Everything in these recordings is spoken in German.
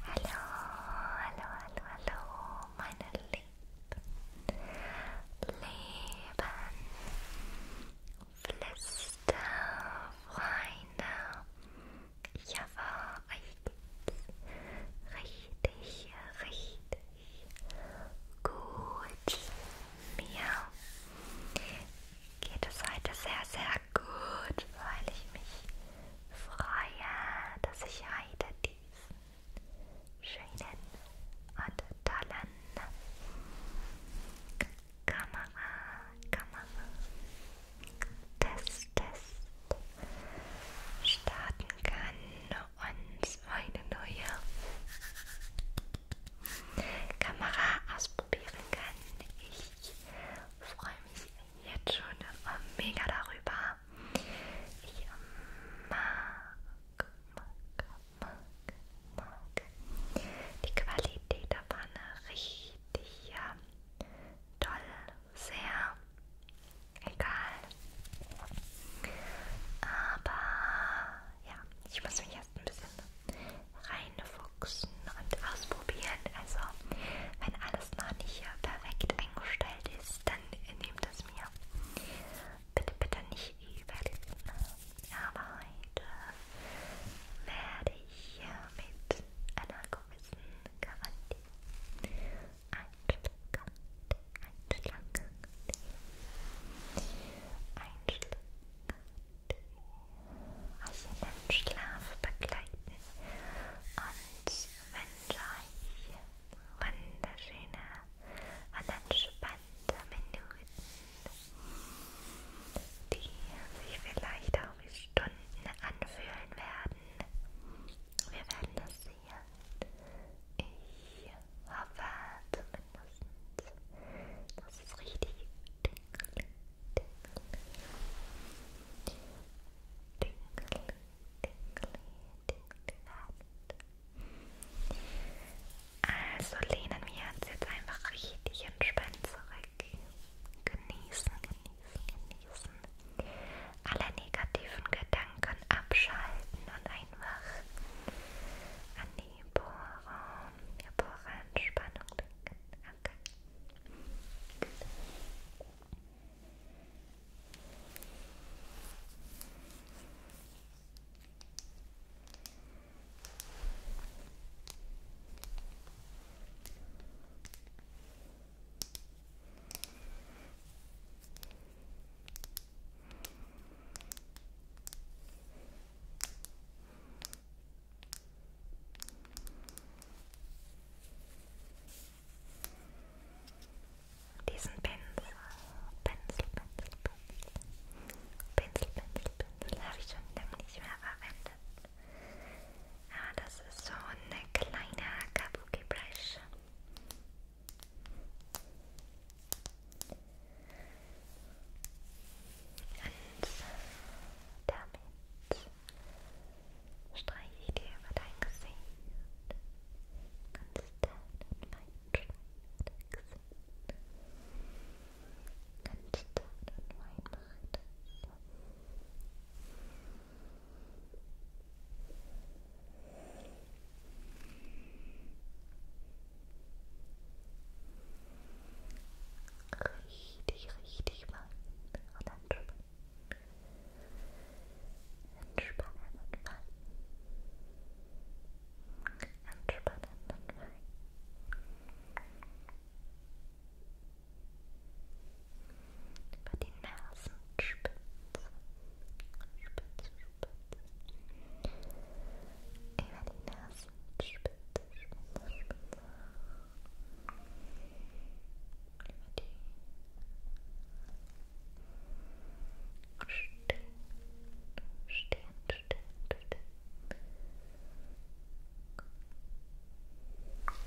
Hallo, hallo, hallo, hallo, meine lieben, lieben Flüsterfreunde. Ich hoffe, euch geht's richtig, richtig Gut. Mir geht es heute sehr, sehr gut, weil ich mich freue, dass ich heute diesen schönen und tollen Kamera, Kamera, Test, Test starten kann und meine neue Kamera ausprobieren kann. Ich freue mich jetzt schon mega darüber. Ich ähm, mag, mag, mag, mag die Qualität der Pfanne richtig ja, toll, sehr egal aber ja, ich muss mich erst ein bisschen reinfuchsen und ausprobieren. Also, wenn alles noch nicht perfekt eingestellt ist, dann nehmt es mir bitte, bitte nicht übel. Aber heute werde ich mit einer gewissen Garantie ein Schluck Tee. Ein Schluck Tee. Also den Schlaf begleiten und wünsche euch wunderschöne und entspannte Minuten, die sich vielleicht auch wie Stunden anfühlen werden. Wir werden das passiert. Ich hoffe zumindest, dass es richtig dingle, dingle, dingle, dingle, dingle hat. Also lehnen wir uns jetzt einfach richtig entspannt zurück. Genießen, genießen, genießen. Alle negativen Gedanken abschalten und ein einfach an die Poren, der Porenspannung denken. Okay. Okay. Diesen Pinsel, Pinsel, Pinsel, Pinsel, Pinsel, Pinsel, Pinsel habe ich schon lange nicht mehr verwendet. Ja, ah, das ist so eine kleine Kabuki Brush. Und damit streiche ich dir über dein Gesicht. Ganz deinen Weinstein über dein Gesicht. Ganz deinen Wein mache ich das. Richtig, richtig weit und entspannen. Entspannen und fallen. Entspannen und fallen. Über die Nasenspitze. Spitze, Spitze, über die Nasenspitze, Spitze, Spitze. Über die Stirn, Stirn, Stirn, Stirn. Über die Nase,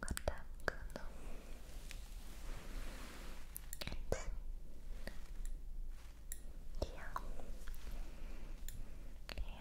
こたくのやついやい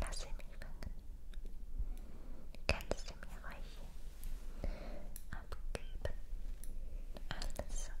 やラスミファン Kannst du mir ruhig abgeben? Alles okay.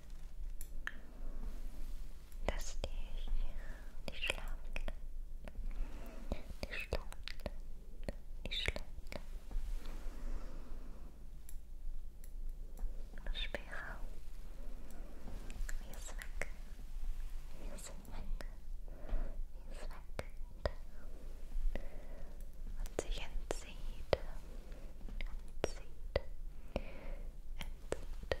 dass dich nicht schlafen lässt. Nicht schlafen lässt. Nicht schlafen lässt. Spielraum. Hier ist weg. Hier ist weg. Hier ist weg. Und sich entzieht. and seed, and seed, and seed, and seed, and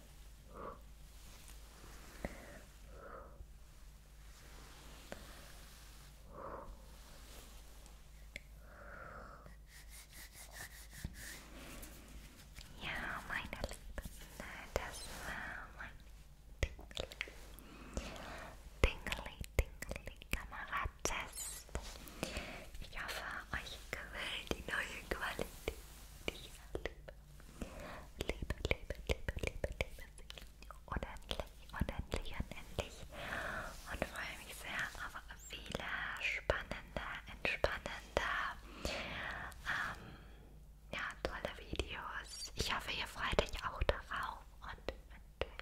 Ja, meine Lieben, das war mein Dingli, Dingli, Dingli Kameratest. Ich hoffe, euch gefällt die neue Qualität, die ich habe. Liebe, liebe, liebe, liebe, liebe Sie. Unendlich, unendlich, unendlich. Und freue mich sehr auf viele spannende, entspannende, ähm, ja, tolle Videos. Ich hoffe, ihr freut euch auch darauf. Und wünsche